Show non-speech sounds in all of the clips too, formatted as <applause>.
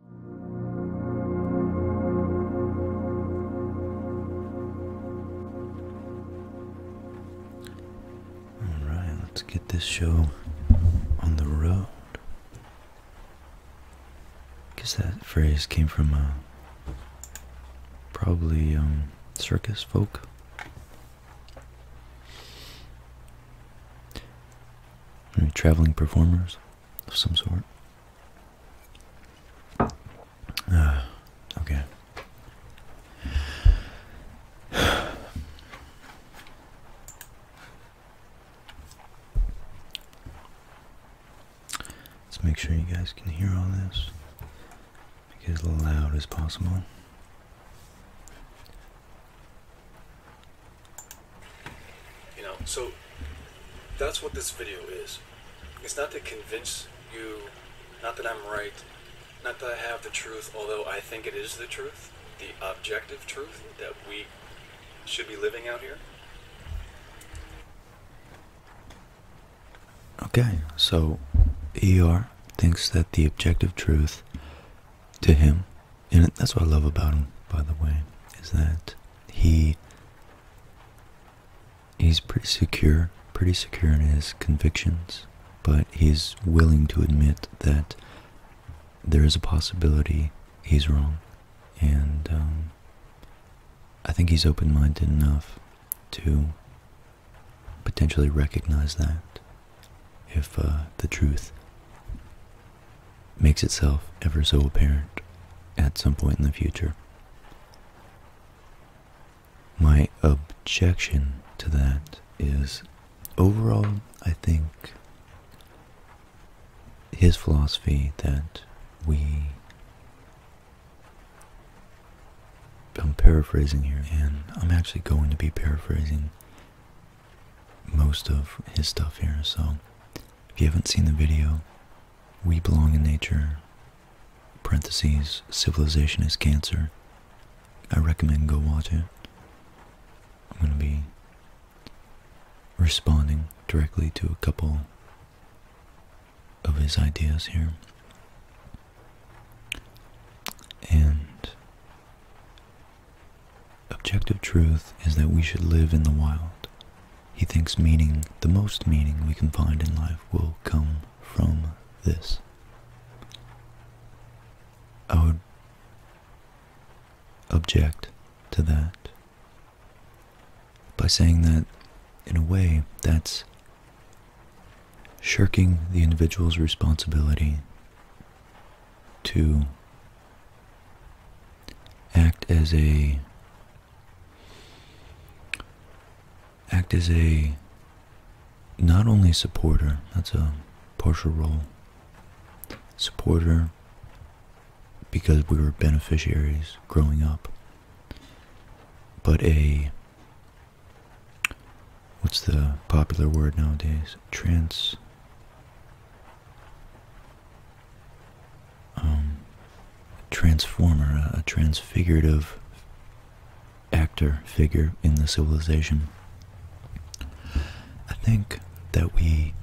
All right, let's get this show on the road. I guess that phrase came from uh, probably um, circus folk. traveling performers of some sort. Uh, okay. Let's make sure you guys can hear all this. Make it as loud as possible. You know, so that's what this video is. It's not to convince you, not that I'm right, not that I have the truth, although I think it is the truth, the objective truth that we should be living out here. Okay, so ER thinks that the objective truth to him and that's what I love about him, by the way, is that he he's pretty secure, pretty secure in his convictions, but he's willing to admit that there is a possibility he's wrong, and um, I think he's open-minded enough to potentially recognize that if uh, the truth makes itself ever so apparent at some point in the future. My objection to that is overall, I think his philosophy that we, I'm paraphrasing here, and I'm actually going to be paraphrasing most of his stuff here, so if you haven't seen the video, We Belong in Nature, parentheses, Civilization is Cancer, I recommend go watch it. I'm going to be responding directly to a couple of his ideas here. And Objective truth is that we should live in the wild. He thinks meaning, the most meaning we can find in life, will come from this. I would object to that by saying that, in a way, that's shirking the individual's responsibility to act as a act as a not only supporter that's a partial role supporter because we were beneficiaries growing up but a what's the popular word nowadays trans um, transformer, a, transfigurative actor figure in the civilization. I think that we,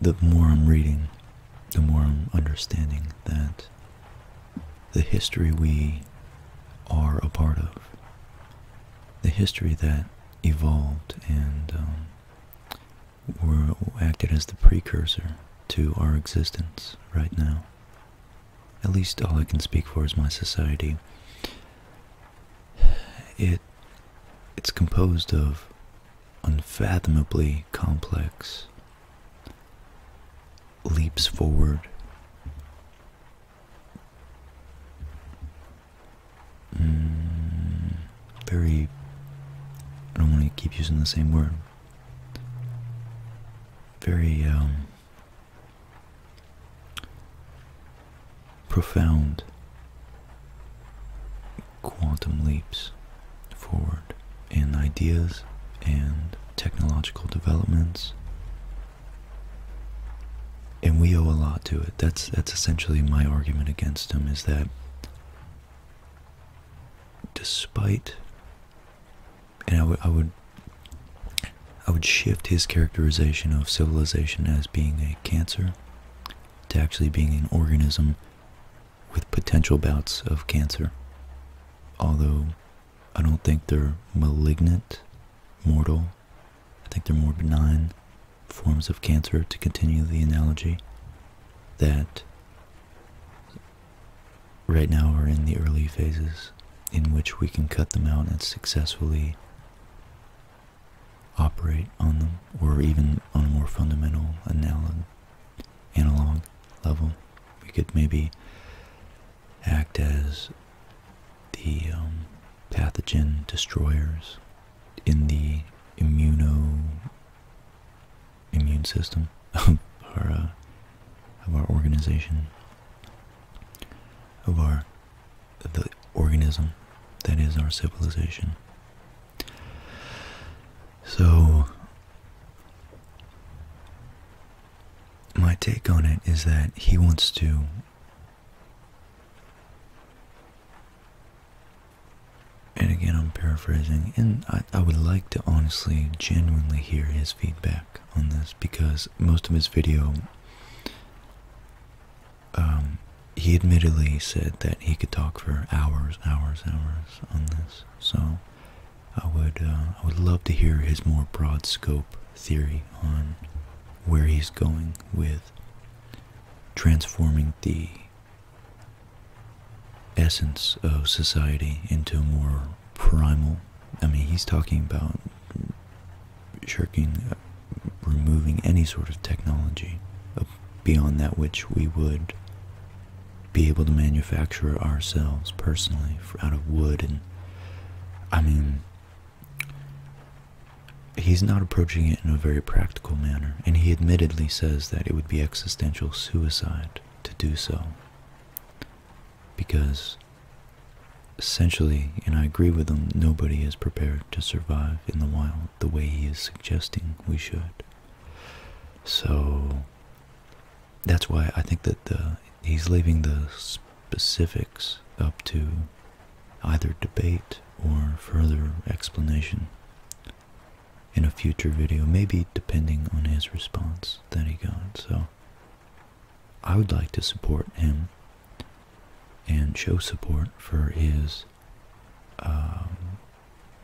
the, more I'm reading, the more I'm understanding that the history we are a part of, the history that evolved and um, were acted as the precursor to our existence right now. At least all I can speak for is my society. It it's composed of unfathomably complex leaps forward Mm, very. I don't want to keep using the same word. Very um, profound quantum leaps forward in ideas and technological developments and we owe a lot to it that's that's essentially my argument against them. is that despite and I would I would I would shift his characterization of civilization as being a cancer to actually being an organism with potential bouts of cancer. Although I don't think they're malignant, mortal. I think they're more benign forms of cancer, to continue the analogy, that right now are in the early phases in which we can cut them out and successfully operate on them, or even on a more fundamental analog, level. We could maybe act as the um, pathogen destroyers in the immuno immune system <laughs> of our uh, of our organization of our the organism that is our civilization. So my take on it is that he wants to and again, I'm paraphrasing, and I, would like to honestly, genuinely hear his feedback on this because most of his video, um, he admittedly said that he could talk for hours, hours, hours on this. So, I would, uh, I would love to hear his more broad scope theory on where he's going with transforming the essence of society into a more primal. I mean, he's talking about shirking, uh, removing any sort of technology uh, beyond that which we would be able to manufacture ourselves personally out of wood. And I mean, he's not approaching it in a very practical manner and he admittedly says that it would be existential suicide to do so. Because essentially, and I agree with him, nobody is prepared to survive in the wild the way he is suggesting we should. So that's why I think that the he's leaving the specifics up to either debate or further explanation in a future video, maybe depending on his response that he got. So I would like to support him and show support for his um,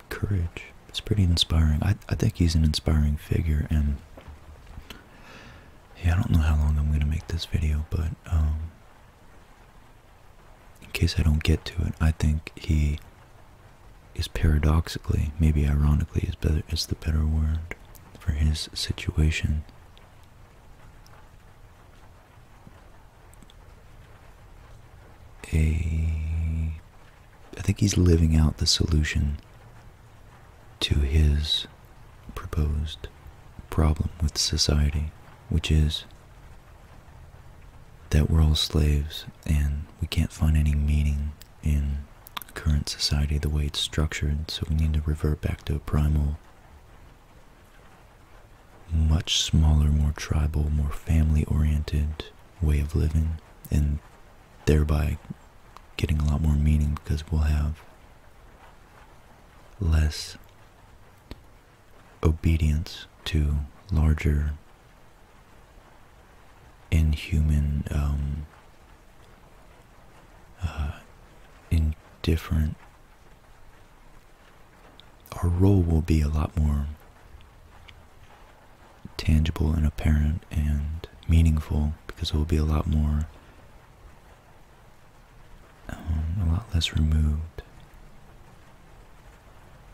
courage. It's pretty inspiring. I, think he's an inspiring figure, and yeah, I don't know how long I'm going to make this video, but um, in case I don't get to it, I think he is paradoxically, maybe ironically, is better is the better word for his situation. A, I think he's living out the solution to his proposed problem with society, which is that we're all slaves and we can't find any meaning in current society the way it's structured, so we need to revert back to a primal, much smaller, more tribal, more family oriented way of living, and thereby getting a lot more meaning because we'll have less obedience to larger inhuman, um, uh, indifferent, our role will be a lot more tangible and apparent and meaningful because it will be a lot more, um, a lot less removed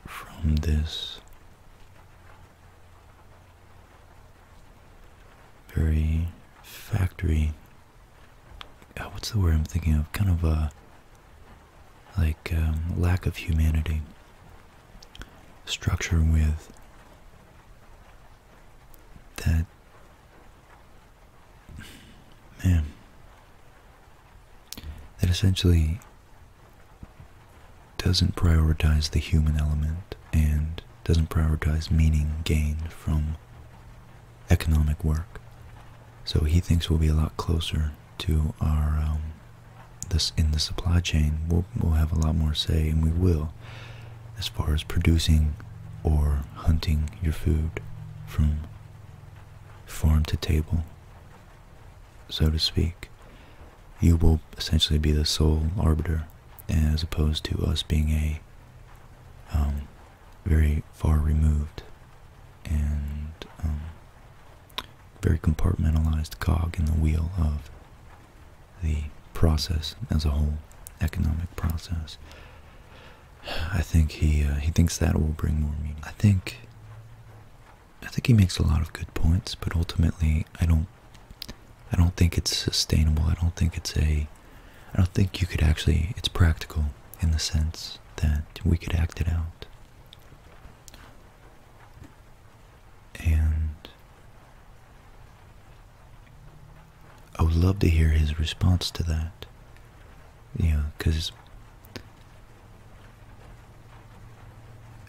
from this very factory. Uh, what's the word I'm thinking of? Kind of a like um, lack of humanity structure with that man that essentially doesn't prioritize the human element and doesn't prioritize meaning gained from economic work. So he thinks we'll be a lot closer to our um, in the supply chain. We'll we'll have a lot more say, and we will, as far as producing or hunting your food from farm to table so to speak, you will essentially be the sole arbiter, as opposed to us being a um, very far removed and um, very compartmentalized cog in the wheel of the process as a whole, economic process. I think he uh, he thinks that will bring more meaning. I think I think he makes a lot of good points, but ultimately, I don't. I don't think it's sustainable. I don't think it's a. I don't think you could actually. It's practical in the sense that we could act it out. And I would love to hear his response to that. You know, because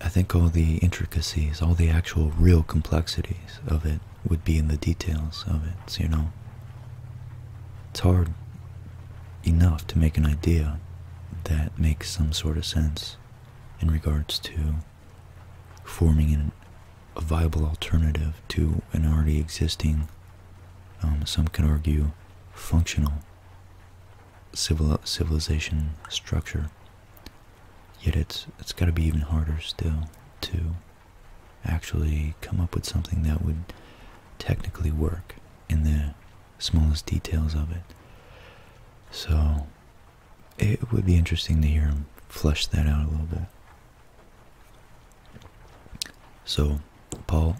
I think all the intricacies, all the actual real complexities of it would be in the details of it, you know. It's hard enough to make an idea that makes some sort of sense in regards to forming a viable alternative to an already existing, um, some could argue, functional civil civilization structure. Yet it's it's got to be even harder still to actually come up with something that would technically work in the smallest details of it. So it would be interesting to hear him flesh that out a little bit. So Paul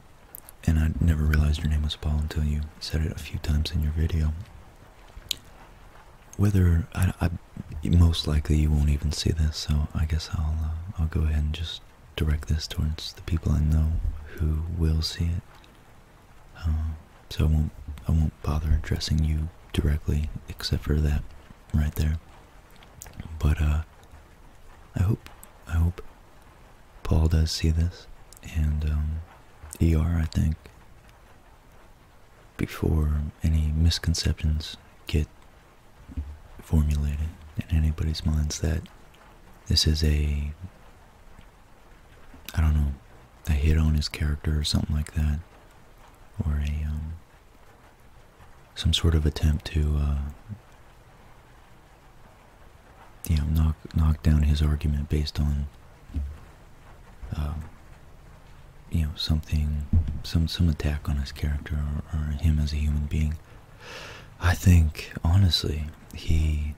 and I never realized your name was Paul until you said it a few times in your video. Whether I, most likely you won't even see this, so I guess I'll uh, I'll go ahead and just direct this towards the people I know who will see it. Um, so I won't I won't bother addressing you directly, except for that right there. But uh, I hope I hope Paul does see this, and ER, I think, before any misconceptions get formulated in anybody's minds that this is a, I don't know, a hit on his character or something like that, or a, um, some sort of attempt to uh, you know, knock knock down his argument based on, um, you know, something, some some attack on his character or, or him as a human being. I think honestly, he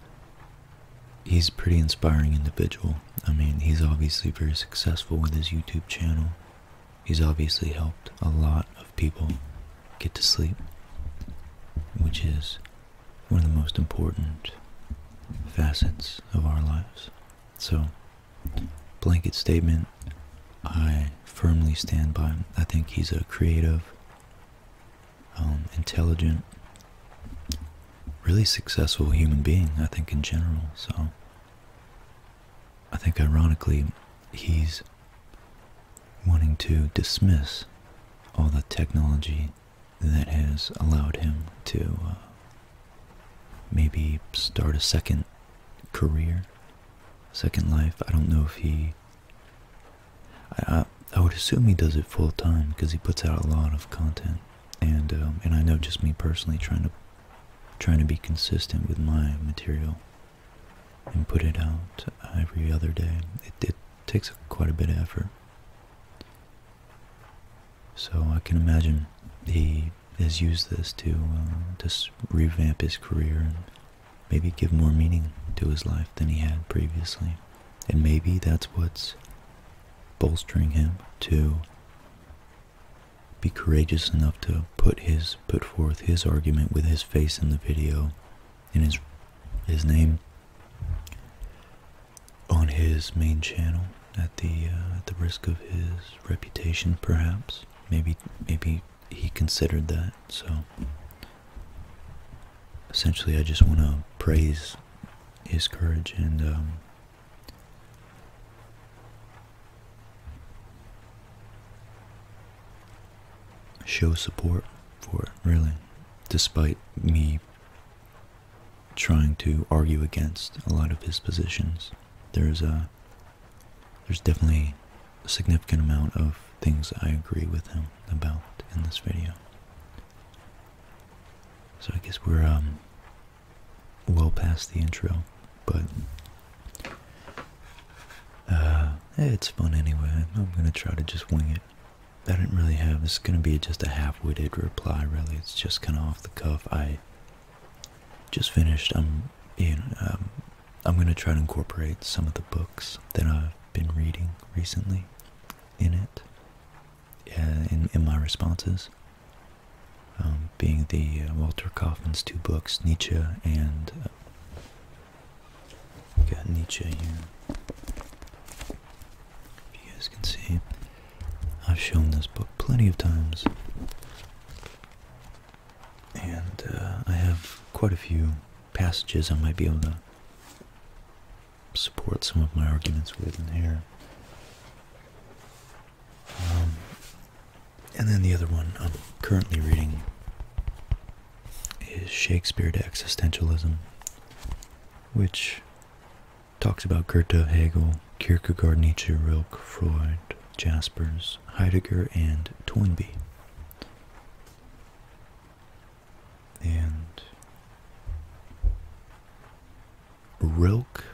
he's a pretty inspiring individual. I mean, he's obviously very successful with his YouTube channel. He's obviously helped a lot of people get to sleep, which is one of the most important facets of our lives. So, blanket statement, I firmly stand by I think he's a creative, um, intelligent, really successful human being, I think, in general. So, I think ironically, he's wanting to dismiss all the technology that has allowed him to uh, maybe start a second career, second life. I don't know if he. I, I, would assume he does it full time because he puts out a lot of content, and um, and I know just me personally trying to trying to be consistent with my material and put it out every other day. It, it takes quite a bit of effort. So I can imagine he has used this to just uh, revamp his career and maybe give more meaning to his life than he had previously. And maybe that's what's bolstering him to be courageous enough to put his put forth his argument with his face in the video and his his name on his main channel at the uh, at the risk of his reputation perhaps maybe maybe he considered that so essentially I just want to praise his courage and um, show support for it really despite me trying to argue against a lot of his positions. There's a there's definitely a significant amount of things I agree with him about in this video. So I guess we're um well past the intro, but uh, it's fun anyway. I'm gonna try to just wing it. I didn't really have. This is gonna be just a half-witted reply. Really, it's just kind of off the cuff. I just finished. I'm you know, I'm gonna try to incorporate some of the books that I've been reading recently in it. Uh, in in my responses. Um, being the uh, Walter Kaufman's two books, Nietzsche and uh, got Nietzsche here. You guys can see I've shown this book plenty of times, and uh, I have quite a few passages I might be able to support some of my arguments with in here. Um, and then the other one I'm currently reading is Shakespeare to Existentialism, which Talks about Goethe, Hegel, Kierkegaard, Nietzsche, Rilke, Freud, Jaspers, Heidegger, and Toynbee. And Rilke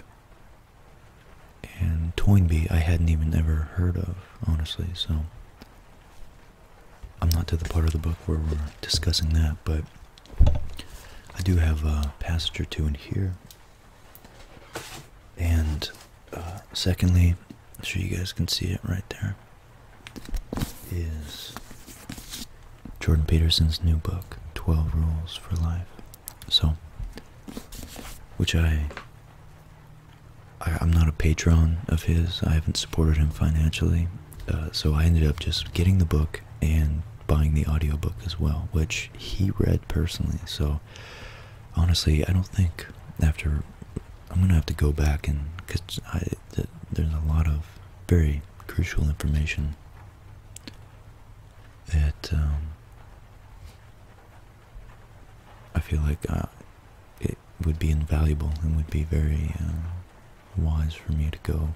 and Toynbee I hadn't even ever heard of, honestly, so I'm not to the part of the book where we're discussing that, but I do have a passage or two in here. And uh, secondly, I'm sure you guys can see it right there, is Jordan Peterson's new book, 12 Rules for Life. So, which I I'm not a patron of his. I haven't supported him financially. Uh, so I ended up just getting the book and buying the audiobook as well, which he read personally. So honestly, I don't think after I'm gonna have to go back and because there's a lot of very crucial information that um, I feel like uh, it would be invaluable and would be very uh, wise for me to go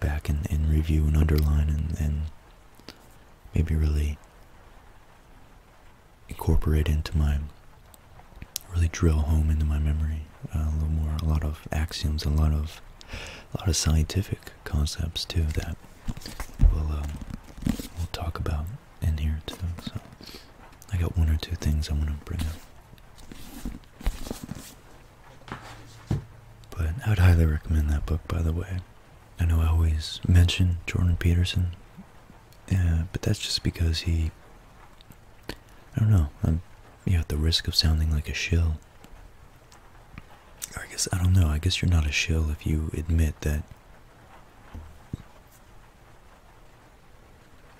back and, review and underline and, maybe really incorporate into my really drill home into my memory uh, a little more a lot of axioms a lot of a lot of scientific concepts too that we'll um, we'll talk about in here too so I got one or two things I want to bring up but I would highly recommend that book, by the way. I know I always mention Jordan Peterson, yeah, but that's just because he. I don't know. I'm, you know, at the risk of sounding like a shill. I guess I don't know. I guess you're not a shill if you admit that.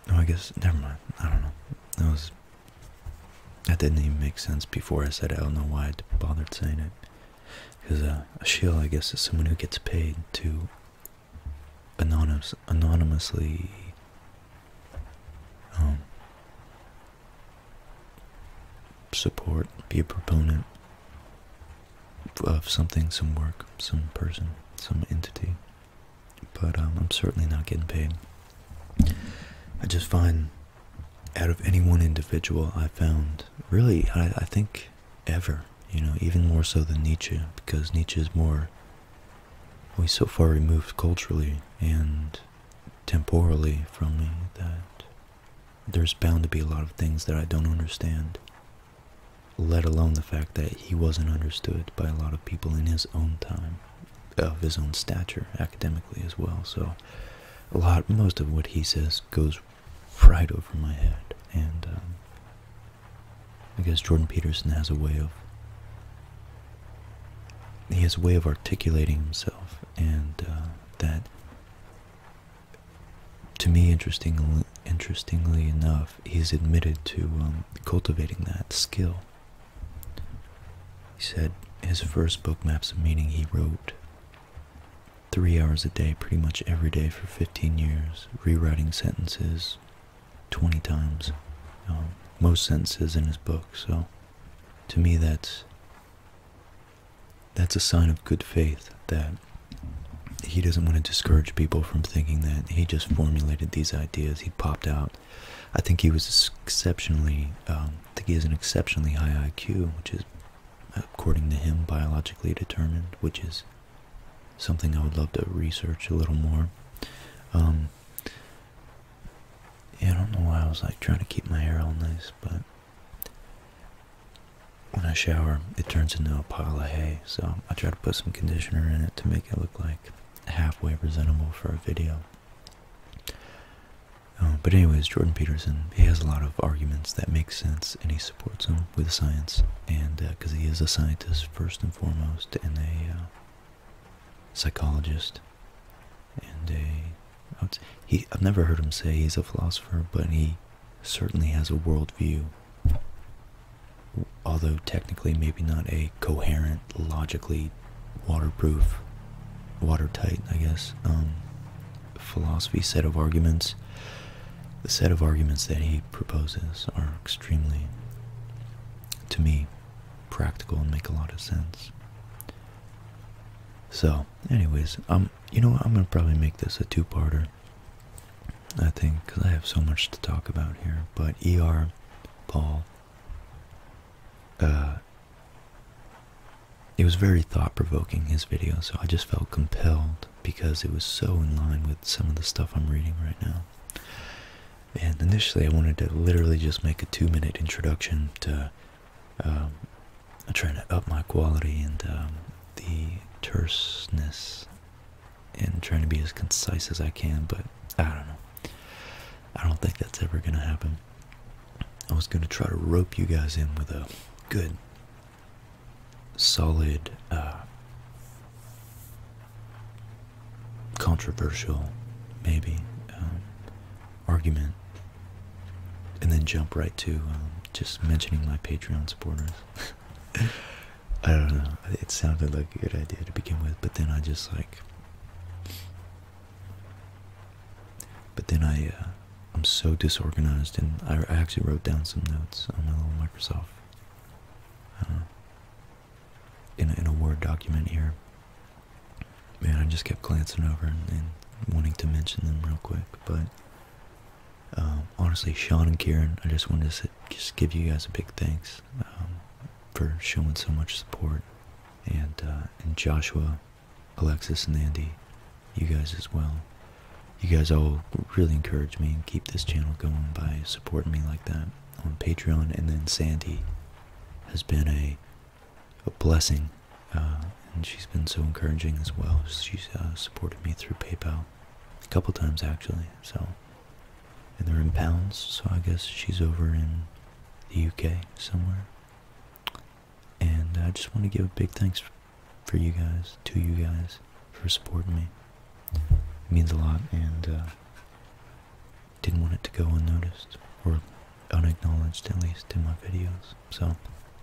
No, oh, I guess never mind. I don't know. That was that didn't even make sense before I said it. I don't know why I bothered saying it. Because uh, a shill, I guess, is someone who gets paid to anonymously um, support, be a proponent of something, some work, some person, some entity. But um, I'm certainly not getting paid. I just find out of any one individual I found, really, I, think ever, you know, even more so than Nietzsche, because Nietzsche is more, We so far removed culturally and temporally from me that there's bound to be a lot of things that I don't understand, let alone the fact that he wasn't understood by a lot of people in his own time of his own stature academically as well. So a lot, most of what he says goes right over my head. And um, I guess Jordan Peterson has a way of he has a way of articulating himself, and uh, that to me, interestingly, enough, he's admitted to um, cultivating that skill he said his first book maps of meaning he wrote three hours a day, pretty much every day for 15 years, rewriting sentences 20 times, um, most sentences in his book. So to me, that's that's a sign of good faith that he doesn't want to discourage people from thinking that he just formulated these ideas. He popped out. I think he was exceptionally um, I think he has an exceptionally high IQ, which is, according to him, biologically determined, which is something I would love to research a little more. Um, I don't know why I was like trying to keep my hair all nice, but when I shower, it turns into a pile of hay, so I try to put some conditioner in it to make it look like halfway presentable for a video. Uh, but anyways, Jordan Peterson, he has a lot of arguments that make sense, and he supports them with science, and because uh, he is a scientist first and foremost, and a uh, psychologist, and a he. I've never heard him say he's a philosopher, but he certainly has a worldview. Although technically, maybe not a coherent, logically waterproof, watertight, I guess, um, philosophy set of arguments. The set of arguments that he proposes are extremely, to me, practical and make a lot of sense. So, anyways, um, you know what? I'm gonna probably make this a two-parter. I think because I have so much to talk about here. But E.R. Paul, uh, it was very thought provoking, his video, so I just felt compelled because it was so in line with some of the stuff I'm reading right now. And initially, I wanted to literally just make a two minute introduction to um, trying to up my quality and um, the terseness and trying to be as concise as I can, but I don't know. I don't think that's ever going to happen. I was going to try to rope you guys in with a good, solid, uh, controversial, maybe, um, argument, and then jump right to um, just mentioning my Patreon supporters. <laughs> I don't know. It sounded like a good idea to begin with, but then I just like but then I, uh, I'm so disorganized, and I actually wrote down some notes on my little Microsoft, uh, in a, Word document here. Man, I just kept glancing over and, wanting to mention them real quick, but. Um, honestly, Sean and Kieran, I just wanted to just give you guys a big thanks um, for showing so much support, and uh, and Joshua Alexis and Andy, you guys as well. You guys all really encourage me and keep this channel going by supporting me like that on Patreon. And then Sandy has been a, a blessing, uh, and she's been so encouraging as well. She's uh, supported me through PayPal a couple times actually. So, and they're in pounds, so I guess she's over in the UK somewhere. And I just want to give a big thanks for you guys, to you guys, for supporting me. It means a lot, and uh, didn't want it to go unnoticed, or unacknowledged at least, in my videos. So,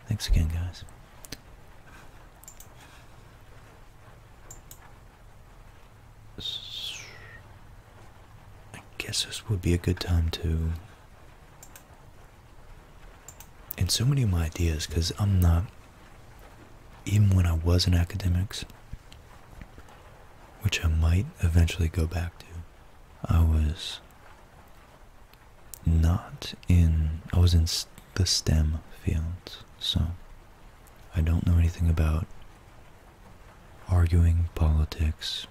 thanks again, guys. I guess this would be a good time to and so many of my ideas because i'm not even when i was in academics which i might eventually go back to i was not in i was in the stem fields so i don't know anything about arguing politics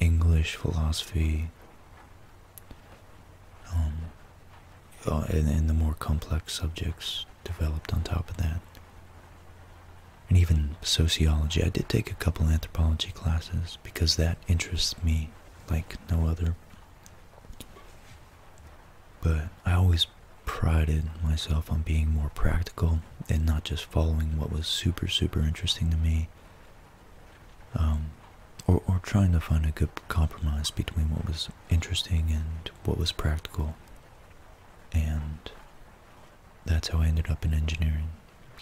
english philosophy um, and the more complex subjects developed on top of that. And even sociology. I did take a couple anthropology classes because that interests me like no other. But I always prided myself on being more practical and not just following what was super, super interesting to me um, or, trying to find a good compromise between what was interesting and what was practical. And that's how I ended up in engineering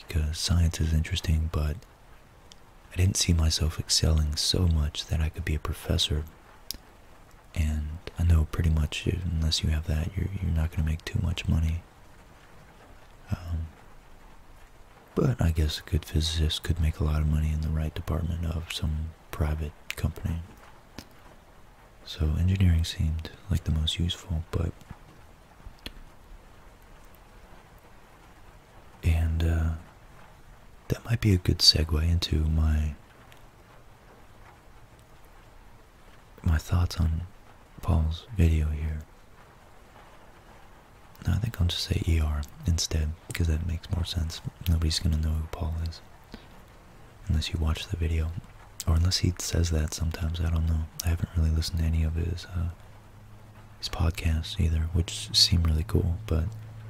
because science is interesting, but I didn't see myself excelling so much that I could be a professor. And I know pretty much unless you have that, you're, not going to make too much money. Um, but I guess a good physicist could make a lot of money in the right department of some private company. So engineering seemed like the most useful, but. And uh, that might be a good segue into my my thoughts on Paul's video here. I think I'll just say ER instead, because that makes more sense. Nobody's going to know who Paul is. Unless you watch the video. Or unless he says that sometimes, I don't know. I haven't really listened to any of his, uh, his podcasts either, which seem really cool, but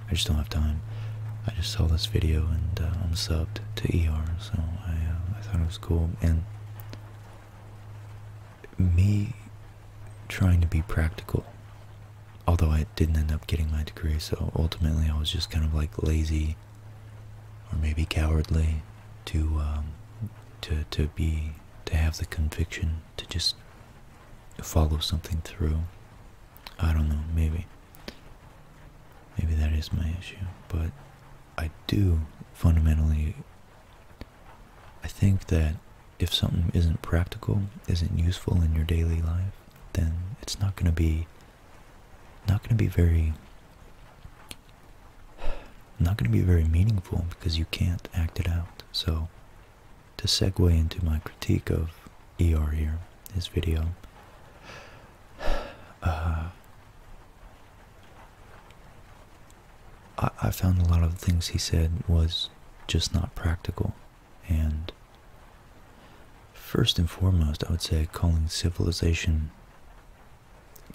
I just don't have time. I just saw this video and uh, I'm subbed to ER, so I, uh, I thought it was cool. And me trying to be practical. Although I didn't end up getting my degree, so ultimately I was just kind of like lazy or maybe cowardly to um, to to be to have the conviction to just follow something through. I don't know, maybe. Maybe that is my issue, but I do fundamentally I think that if something isn't practical, isn't useful in your daily life, then it's not going to be not going to be very not going to be very meaningful because you can't act it out. So to segue into my critique of ER here, his video, uh, I, found a lot of things he said was just not practical. And first and foremost, I would say calling civilization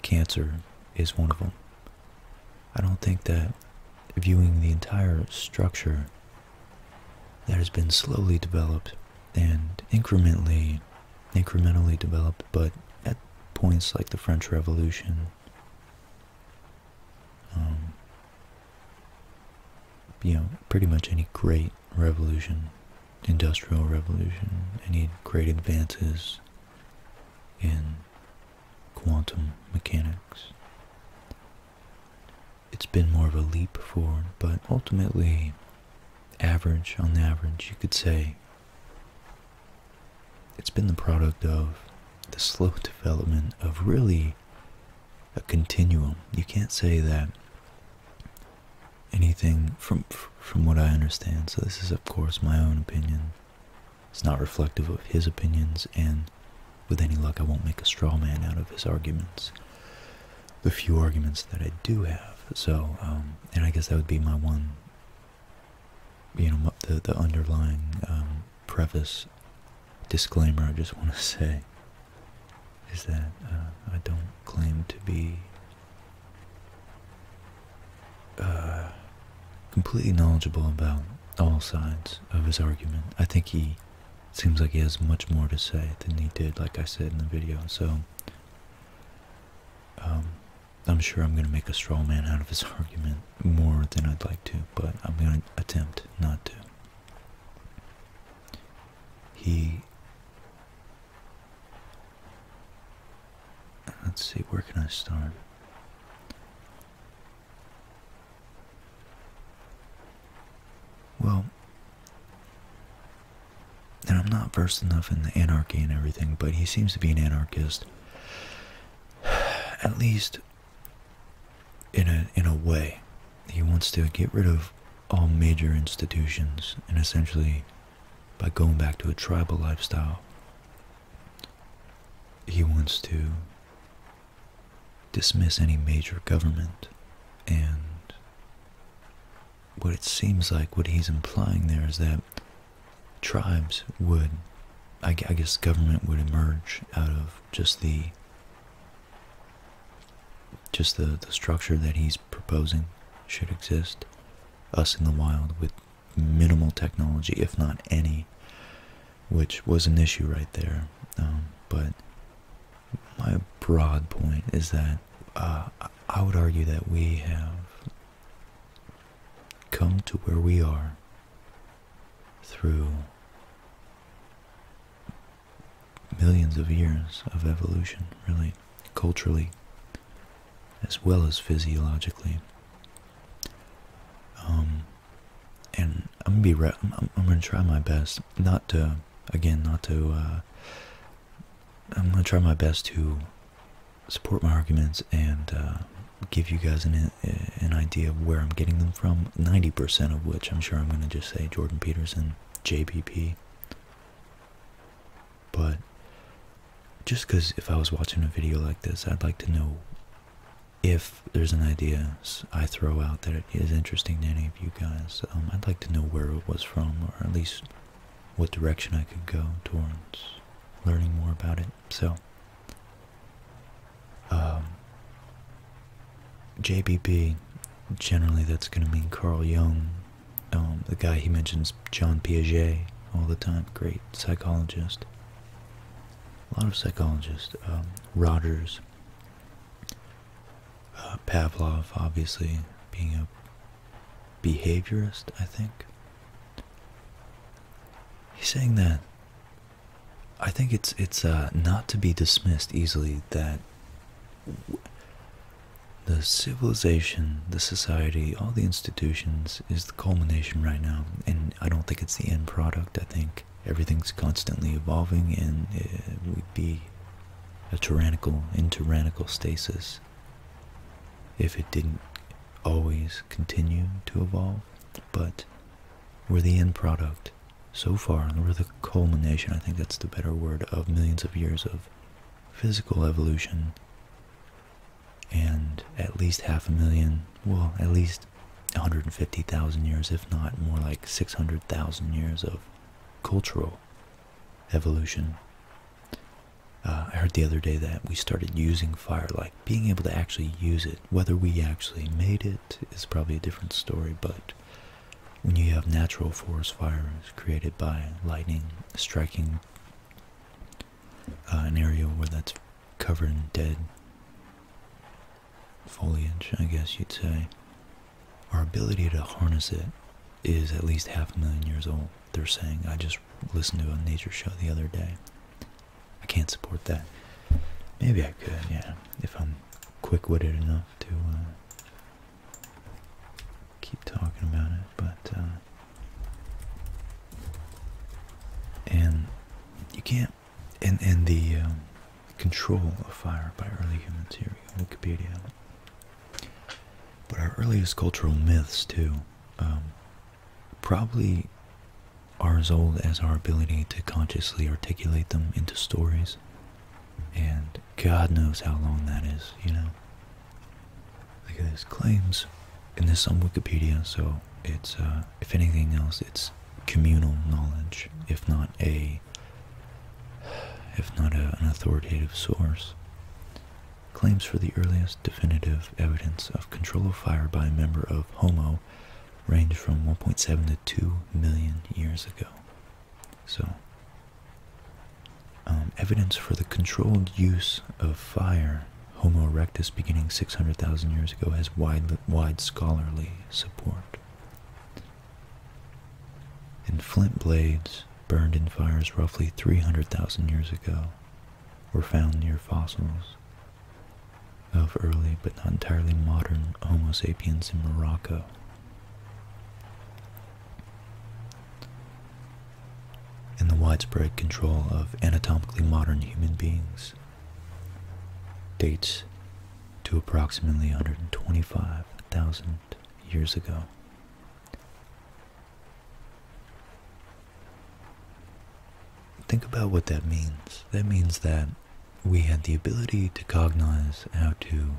cancer is one of them. I don't think that viewing the entire structure that has been slowly developed and incrementally incrementally developed but at points like the French Revolution um, you know, pretty much any great revolution, industrial revolution, any great advances in quantum mechanics. It's been more of a leap forward, but ultimately, average on average, you could say it's been the product of the slow development of really a continuum. You can't say that anything from from what I understand. So this is of course my own opinion. It's not reflective of his opinions, and with any luck, I won't make a straw man out of his arguments. The few arguments that I do have. So, um, and I guess that would be my one. You know, the the underlying um, preface disclaimer I just want to say is that uh, I don't claim to be uh, completely knowledgeable about all sides of his argument. I think he seems like he has much more to say than he did, like I said in the video. So um, I'm sure I'm going to make a straw man out of his <laughs> argument more than I'd like to but I'm going to attempt not to. He. Let's see, where can I start? Well, and I'm not versed enough in the anarchy and everything, but he seems to be an anarchist. <sighs> At least in a in a way. He wants to get rid of all major institutions and essentially by going back to a tribal lifestyle he wants to dismiss any major government and what it seems like what he's implying there is that tribes would I, I guess government would emerge out of just the just the the structure that he's proposing should exist us in the wild with minimal technology if not any which was an issue right there um, but my broad point is that uh, i would argue that we have come to where we are through millions of years of evolution, really, culturally, as well as physiologically. Um, and I'm gonna be, I'm, I'm, gonna try my best not to, again, not to, uh, I'm gonna try my best to support my arguments and uh, give you guys an an idea of where I'm getting them from, 90% of which I'm sure I'm going to just say Jordan Peterson, JPP. But just because if I was watching a video like this, I'd like to know if there's an idea I throw out that is interesting to any of you guys. Um, I'd like to know where it was from, or at least what direction I could go towards learning more about it. So, um, JBB, generally that's going to mean Carl Jung. Um, the guy he mentions, John Piaget, all the time. Great psychologist. A lot of psychologists. Um, Rogers. Uh, Pavlov, obviously, being a behaviorist, I think. He's saying that I think it's it's uh, not to be dismissed easily that the civilization, the society, all the institutions is the culmination right now, and I don't think it's the end product. I think everything's constantly evolving, and it uh, would be a tyrannical, in tyrannical stasis if it didn't always continue to evolve. But we're the end product so far, and we're the culmination, I think that's the better word, of millions of years of physical evolution and at least half a million, well, at least 150,000 years, if not more like 600,000 years of cultural evolution. Uh, I heard the other day that we started using fire, like being able to actually use it, whether we actually made it is probably a different story, but when you have natural forest fires created by lightning striking uh, an area where that's covered in dead foliage, I guess you'd say, our ability to harness it is at least half a million years old. They're saying, I just listened to a nature show the other day, I can't support that. Maybe I could, yeah, if I'm quick-witted enough to uh, keep talking about it. But uh, and you can't. And and the um, control of fire by early humans. Here we Wikipedia. But our earliest cultural myths too. Um, probably are as old as our ability to consciously articulate them into stories. And God knows how long that is, you know? Look at this claims. And this on Wikipedia, so it's, uh, if anything else, it's communal knowledge, if not a, if not an authoritative source. Claims for the earliest definitive evidence of control of fire by a member of Homo people range from 1.7 to 2 million years ago. So, um, evidence for the controlled use of fire, Homo erectus beginning 600,000 years ago, has wide, wide scholarly support. And flint blades burned in fires roughly 300,000 years ago were found near fossils of early but not entirely modern Homo sapiens in Morocco. And the widespread control of anatomically modern human beings dates to approximately 125,000 years ago. Think about what that means. That means that we had the ability to cognize how to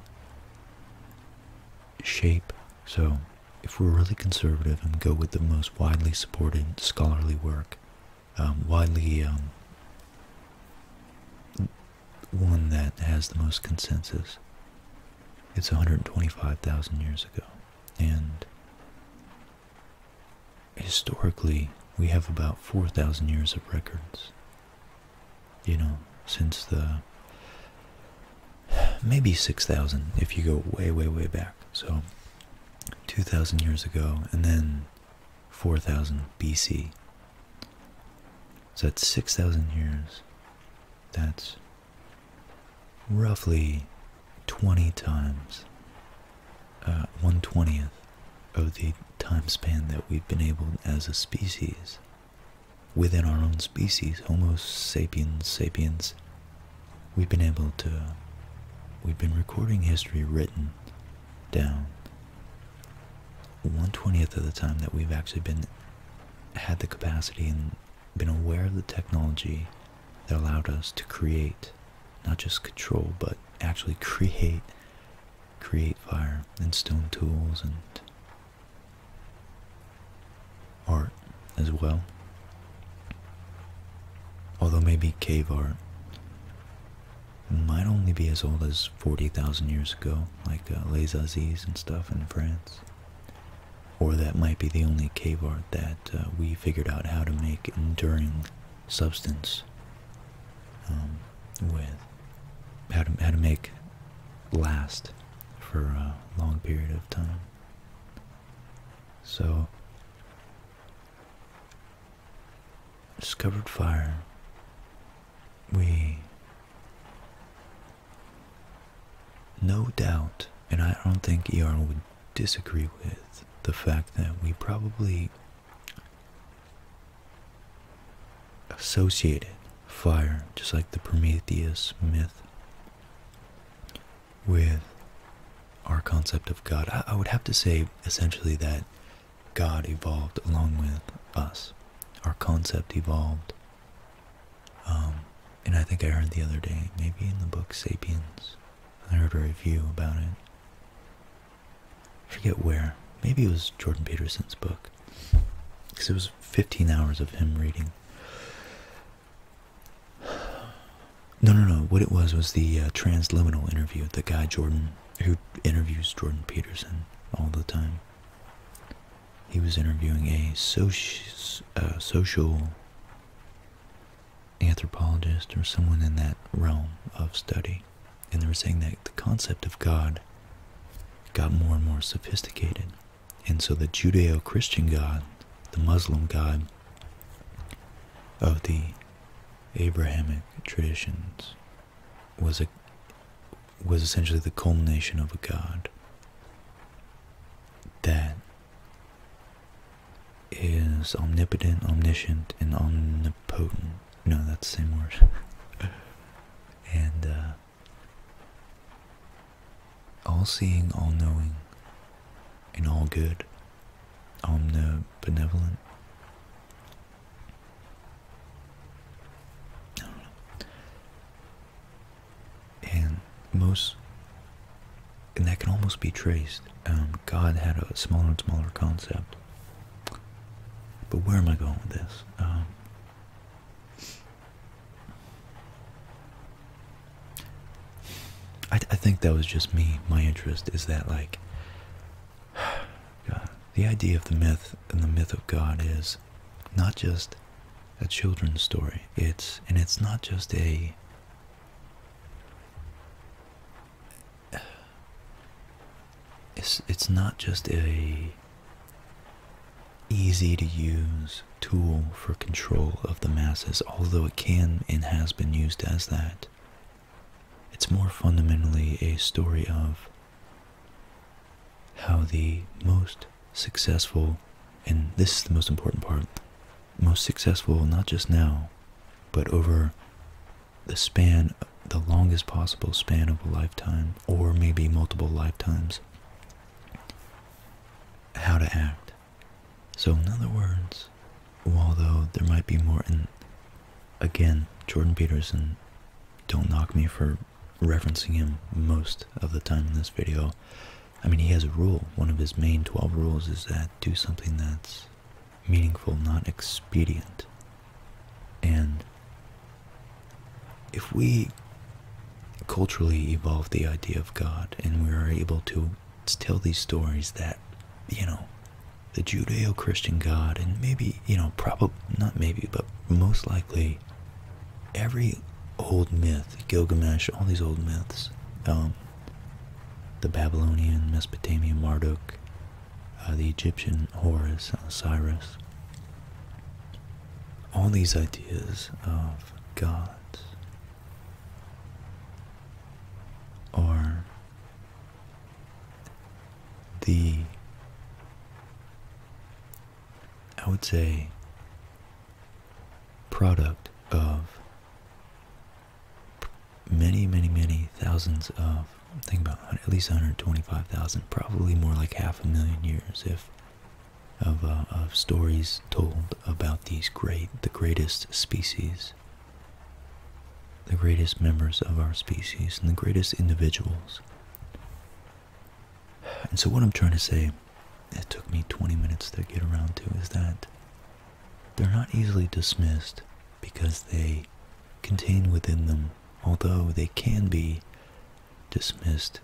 shape. So, if we're really conservative and go with the most widely supported scholarly work, um, widely um, one that has the most consensus, it's 125,000 years ago. And historically, we have about 4,000 years of records. You know, since the maybe 6,000 if you go way, way, way back. So 2,000 years ago, and then 4,000 BC. So that's 6,000 years. That's roughly 20 times 120th uh, of the time span that we've been able as a species, within our own species, Homo sapiens sapiens, we've been able to, we've been recording history written down 120th of the time that we've actually been, had the capacity and been aware of the technology that allowed us to create, not just control, but actually <laughs> create create fire and stone tools and art as well. Although maybe cave art might only be as old as 40,000 years ago, like uh, Les Aziz and stuff in France. Or that might be the only cave art that uh, we figured out how to make enduring substance um, with how to, how to make last for a long period of time. So, discovered fire, we no doubt, and I don't think ER would disagree with the fact that we probably associated fire, just like the Prometheus myth, with our concept of God. I, would have to say essentially that God evolved along with us. Our concept evolved. Um, and I think I heard the other day, maybe in the book Sapiens, I heard a review about it forget where. Maybe it was Jordan Peterson's book. Because it was 15 hours of him reading. No, no, no. What it was was the uh, transliminal interview. The guy Jordan, who interviews Jordan Peterson all the time. He was interviewing a uh, social anthropologist or someone in that realm of study and they were saying that the concept of God got more and more sophisticated. And so the Judeo Christian God, the Muslim God of the Abrahamic traditions, was a was essentially the culmination of a God that is omnipotent, omniscient, and omnipotent no, that's the same word. and uh, all seeing, all knowing, and all good, omnibenevolent. And most, and that can almost be traced. Um, God had a smaller and smaller concept but where am I going with this? Um, I, think that was just me. My interest is that, like, <sighs> the idea of the myth and the myth of God is not just a children's story. It's and it's not just a it's it's not just a easy to use tool for control of the masses, although it can and has been used as that. It's more fundamentally a story of how the most successful, and this is the most important part, most successful not just now, but over the span, the longest possible span of a lifetime, or maybe multiple lifetimes, how to act. So, in other words, although there might be more, and again, Jordan Peterson, don't knock me for referencing him most of the time in this video. I mean, he has a rule. One of his main 12 rules is that do something that's meaningful, not expedient. And if we culturally evolve the idea of God and we are able to tell these stories that, you know, the Judeo Christian God, and maybe, you know, probably, not maybe, but most likely, every old myth, Gilgamesh, all these old myths, um, the Babylonian, Mesopotamian, Marduk, uh, the Egyptian Horus, Osiris. All these ideas of gods are the, I would say, product of many, many, many thousands of think about at least 125,000, probably more like half a million years if of, uh, of stories told about these great, the greatest species, the greatest members of our species, and the greatest individuals. And so what I'm trying to say, it took me 20 minutes to get around to, is that they're not easily dismissed because they contain within them although they can be dismissed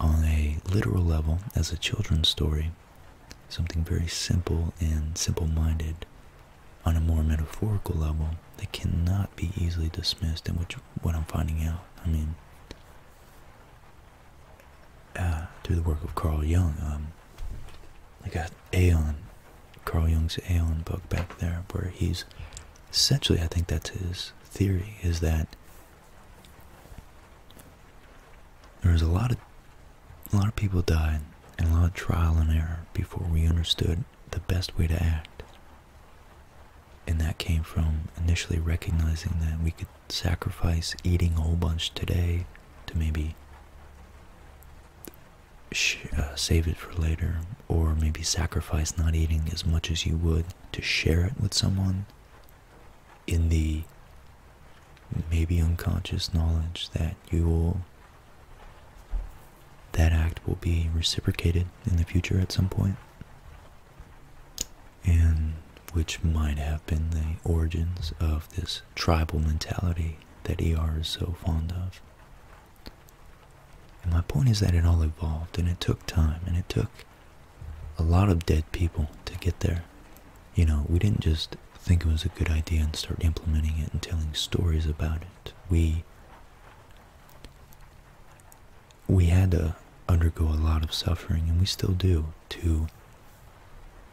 on a literal level as a children's story, something very simple and simple minded, on a more metaphorical level, they cannot be easily dismissed, and which what I'm finding out. I mean, uh, through the work of Carl Jung, um, I got Aeon, Carl Jung's Aeon book back there, where he's essentially, I think that's his theory, is that there was a lot of a lot of people died and a lot of trial and error before we understood the best way to act. And that came from initially recognizing that we could sacrifice eating a whole bunch today to maybe uh, save it for later or maybe sacrifice not eating as much as you would to share it with someone in the maybe unconscious knowledge that you will that act will be reciprocated in the future at some point and which might have been the origins of this tribal mentality that er is so fond of and my point is that it all evolved and it took time and it took a lot of dead people to get there. You know, we didn't just think it was a good idea and start implementing it and telling stories about it. We we had to undergo a lot of suffering and we still do to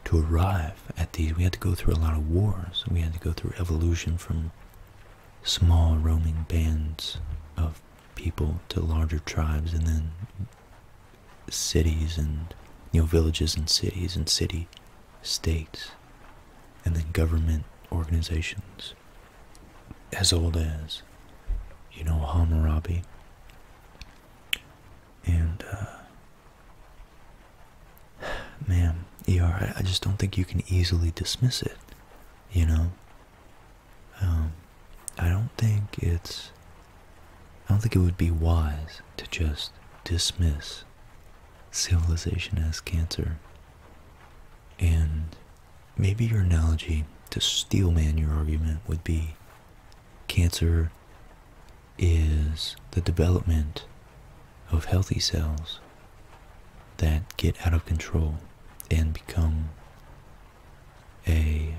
to arrive at these we had to go through a lot of wars we had to go through evolution from small roaming bands of people to larger tribes and then cities and you villages and cities and city states and then government organizations as old as you know Hammurabi and uh, <sighs> man er I just don't think you can easily dismiss it you know um, I don't think it's. I don't think it would be wise to just dismiss civilization as cancer. And maybe your analogy to steelman your argument would be cancer is the development of healthy cells that get out of control and become a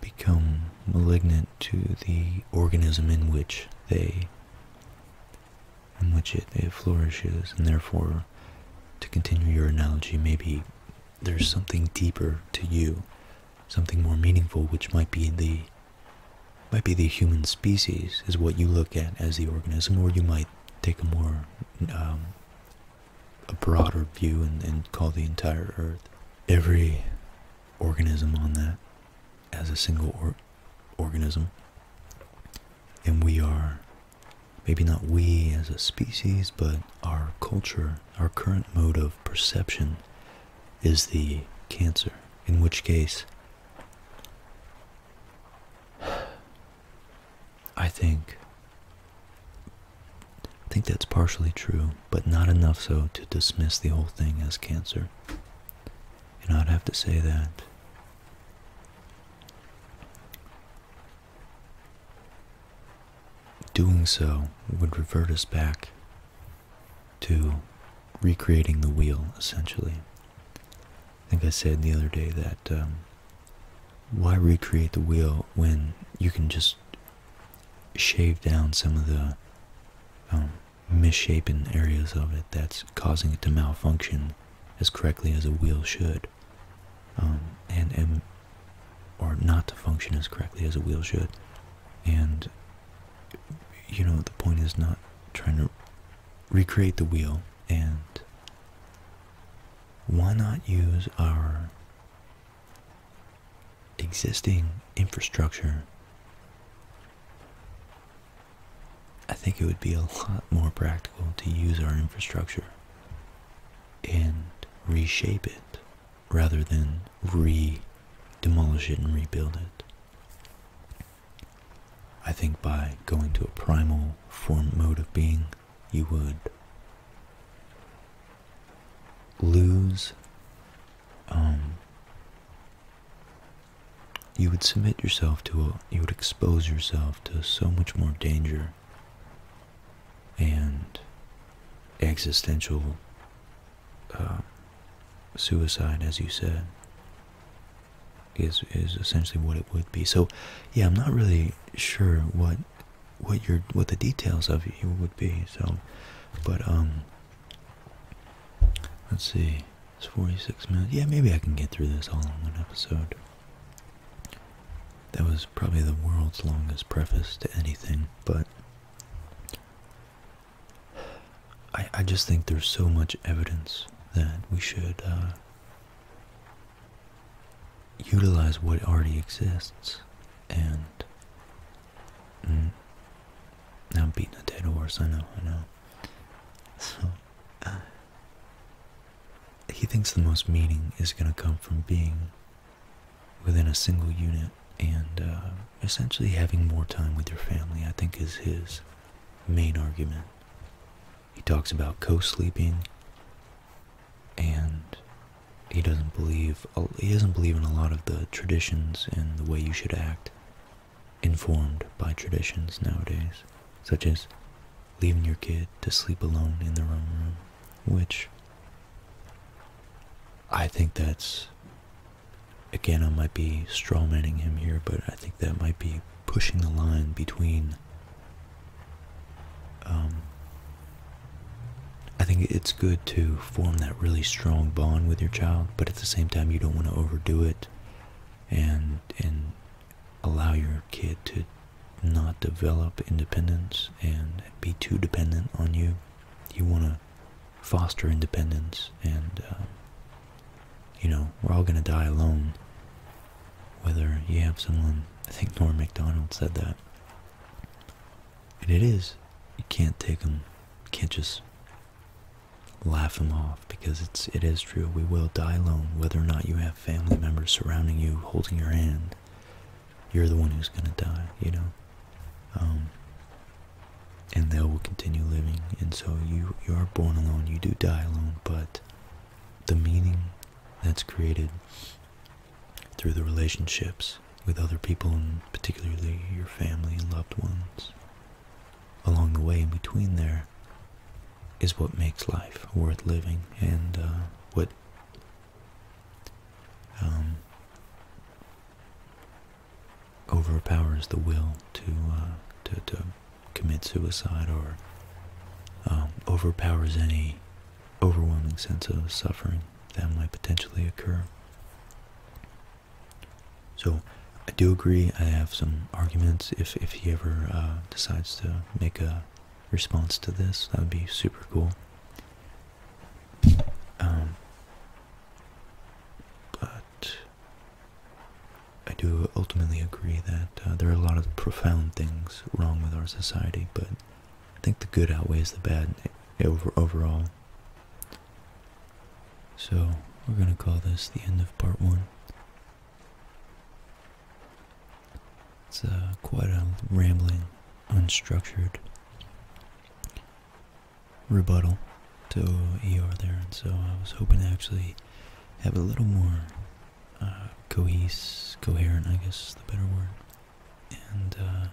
become malignant to the organism in which they in which it flourishes and therefore to continue your analogy maybe there's something deeper to you something more meaningful which might be the might be the human species is what you look at as the organism, or you might take a more um, a broader view and, call the entire Earth every organism on that as a single organism, and we are maybe not we as a species, but our culture, our current mode of perception is the cancer, in which case I think think that's partially true, but not enough so to dismiss the whole thing as cancer. And I'd have to say that doing so would revert us back to recreating the wheel, essentially. I think I said the other day that um, why recreate the wheel when you can just shave down some of the um, misshapen areas of it that's causing it to malfunction as correctly as a wheel should, um, and or not to function as correctly as a wheel should, and you know the point is not trying to recreate the wheel and why not use our existing infrastructure? I think it would be a lot more practical to use our infrastructure and reshape it rather than re demolish it and rebuild it. I think by going to a primal form mode of being, you would lose, um, you would submit yourself to, a, you would expose yourself to so much more danger and existential uh, suicide, as you said is is essentially what it would be. So, yeah, I'm not really sure what what your what the details of it would be. So, but um, let's see, it's 46 minutes. Yeah, maybe I can get through this all in one episode. That was probably the world's longest preface to anything, but I, I just think there's so much evidence that we should uh, utilize what already exists and I'm mm, beating a dead horse, I know, I know. So uh, he thinks the most meaning is gonna come from being within a single unit and uh, essentially having more time with your family, I think is his main argument. He talks about co sleeping and he doesn't believe he doesn't believe in a lot of the traditions and the way you should act informed by traditions nowadays such as leaving your kid to sleep alone in their own room which i think that's again, I might be strawmanning him here, but I think that might be pushing the line between. Um, I think it's good to form that really strong bond with your child, but at the same time, you don't want to overdo it, and and allow your kid to not develop independence and be too dependent on you. You want to foster independence and um, you know, we're all going to die alone. Whether you have someone, I think Norm MacDonald said that. And it is. You can't take them. You can't just laugh them off because it's it is true. We will die alone, whether or not you have family members surrounding you, holding your hand. You're the one who's gonna die. You know. Um, and they will continue living. And so you you are born alone, you do die alone, but the meaning that's created through the relationships with other people and particularly your family and loved ones along the way in between there is what makes life worth living and uh, what um, overpowers the will uh, to to, commit suicide or um, overpowers any overwhelming sense of suffering that might potentially occur. So I do agree. I have some arguments. If if he ever uh, decides to make a response to this, that would be super cool. Um, but I do ultimately agree that uh, there are a lot of profound things wrong with our society, but I think the good outweighs the bad eh, overall. So we're going to call this the end of part one. It's uh, quite a rambling, unstructured rebuttal to ER there, and so I was hoping to actually have a little more uh, cohesive, coherent, I guess the better word, and uh,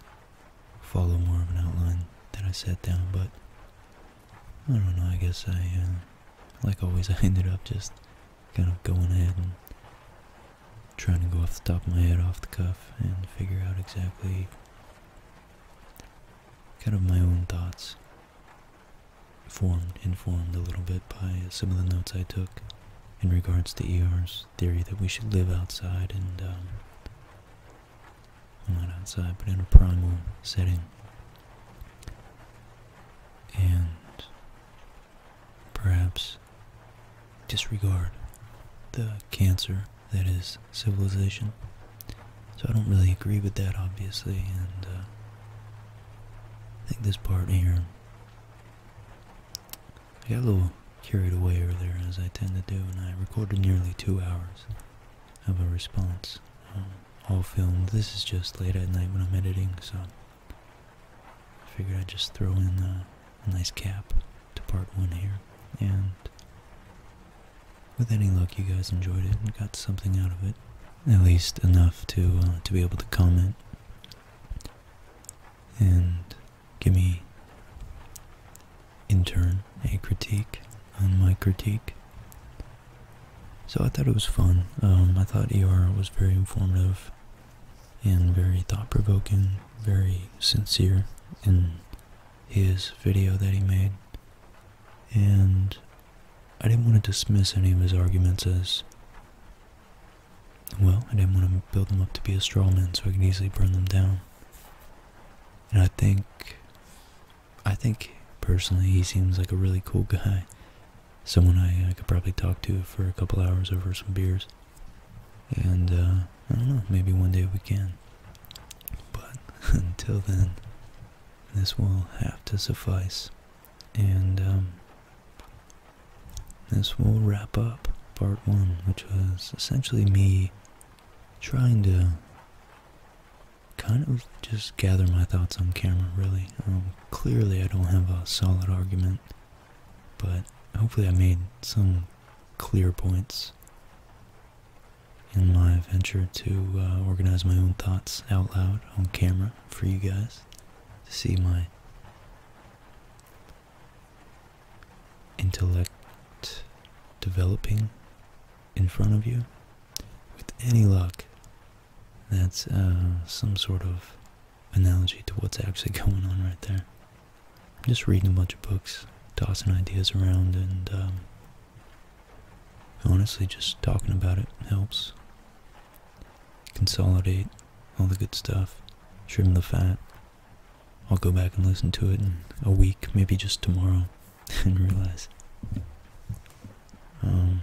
follow more of an outline that I set down, but I don't know, I guess I, uh, like always, <laughs> I ended up just kind of going ahead and trying to go off the top of my head, off the cuff, and figure out exactly kind of my own thoughts formed, informed a little bit by some of the notes I took in regards to ER's theory that we should live outside and, um, not outside, but in a primal setting. And perhaps disregard the cancer that is civilization. So I don't really agree with that, obviously, and uh, I think this part here. I got a little carried away earlier, as I tend to do, and I recorded nearly two hours of a response, all filmed. This is just late at night when I'm editing, so I figured I'd just throw in a nice cap to part one here. And with any luck, you guys enjoyed it and got something out of it at least enough to uh, to be able to comment and give me in turn a critique on my critique. So I thought it was fun. Um, I thought ER was very informative and very thought-provoking, very sincere in his video that he made and I didn't want to dismiss any of his arguments as well, I didn't want to build them up to be a straw man so I could easily burn them down. And I think, I think personally he seems like a really cool guy. Someone I, I could probably talk to for a couple hours over some beers. And, uh, I don't know, maybe one day we can. But <laughs> until then, this will have to suffice. And um, this will wrap up part one, which was essentially me trying to kind of just gather my thoughts on camera, really. Um, clearly, I don't have a solid argument, but hopefully, I made some clear points in my venture to uh, organize my own thoughts out loud on camera for you guys to see my intellect developing in front of you. With any luck, that's uh, some sort of analogy to what's actually <laughs> going on right there. I'm just reading a bunch of books, tossing ideas around, and um, Honestly, just talking about it helps. Consolidate all the good stuff, trim the fat. I'll go back and listen to it in a week, maybe just tomorrow, <laughs> and realize um,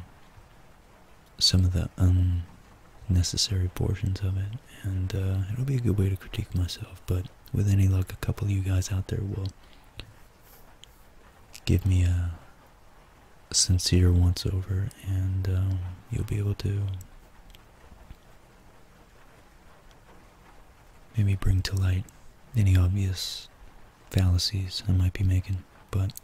some of the unnecessary portions of it. And uh, it'll be a good way to critique myself, but with any luck, a couple of you guys out there will give me a, sincere once over, and um, you'll be able to maybe bring to light any obvious fallacies I might be making, but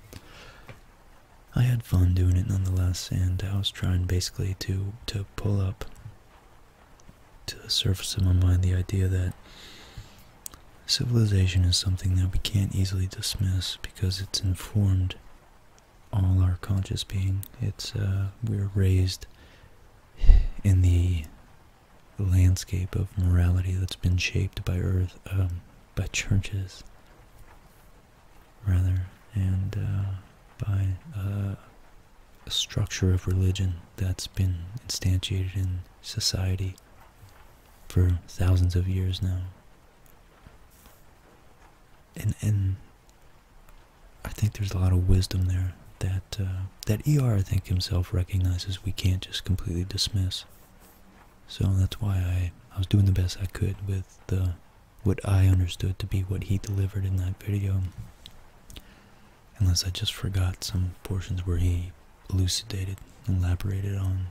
I had fun doing it nonetheless, and I was trying basically to, to pull up to the surface of my mind the idea that Civilization is something that we can't easily dismiss because it's informed all our conscious being. It's uh, we're raised in the landscape of morality that's been shaped by earth, um, by churches, rather, and uh, by uh, a structure of religion that's been instantiated in society for thousands of years now and and I think there's a lot of wisdom there that uh, that ER I think himself recognizes we can't just completely dismiss. So that's why I I was doing the best I could with the what I understood to be what he delivered in that video. Unless I just forgot some portions where he elucidated, elaborated on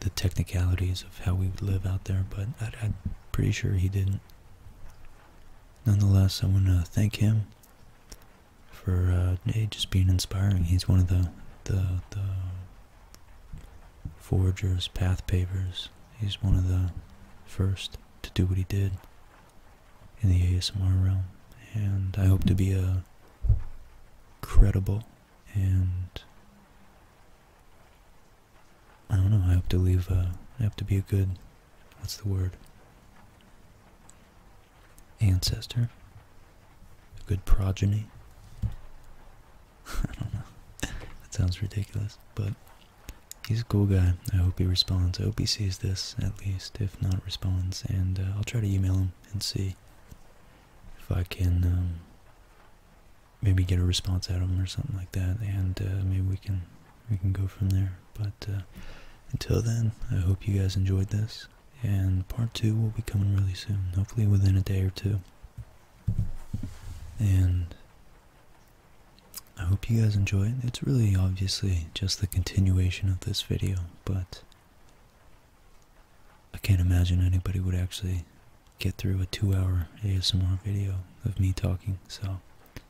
the technicalities of how we live out there, but I, am pretty sure he didn't. Nonetheless, I want to thank him for uh, just being inspiring. He's one of the the the forgers, path pavers. He's one of the first to do what he did in the ASMR realm, and I hope to be a credible and I don't know. I hope to leave. Uh, I hope to be a good. What's the word? Ancestor. A good progeny. <laughs> I don't know. <laughs> that sounds ridiculous, but he's a cool guy. I hope he responds. I hope he sees this at least, if not responds. And uh, I'll try to email him and see if I can um, maybe get a response out of them or something like that, and uh, maybe we can we can go from there. But uh, until then, I hope you guys enjoyed this, and part two will be coming really soon, hopefully within a day or two. And I hope you guys enjoy it. It's really obviously just the continuation of this video, but I can't imagine anybody would actually get through a two-hour ASMR video of me talking, so it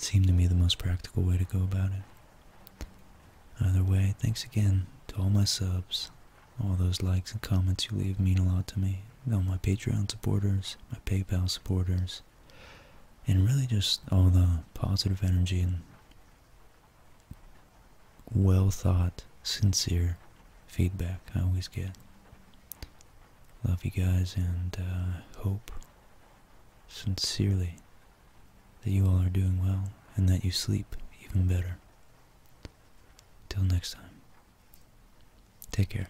seemed to me the most practical way to go about it. Either way, thanks again to all my subs. All those likes and comments you leave mean a lot to me. All my Patreon supporters, my PayPal supporters, and really just all the positive energy and well thought, sincere feedback I always get. Love you guys and uh, hope sincerely that you all are doing well and that you sleep even better. Till next time, take care.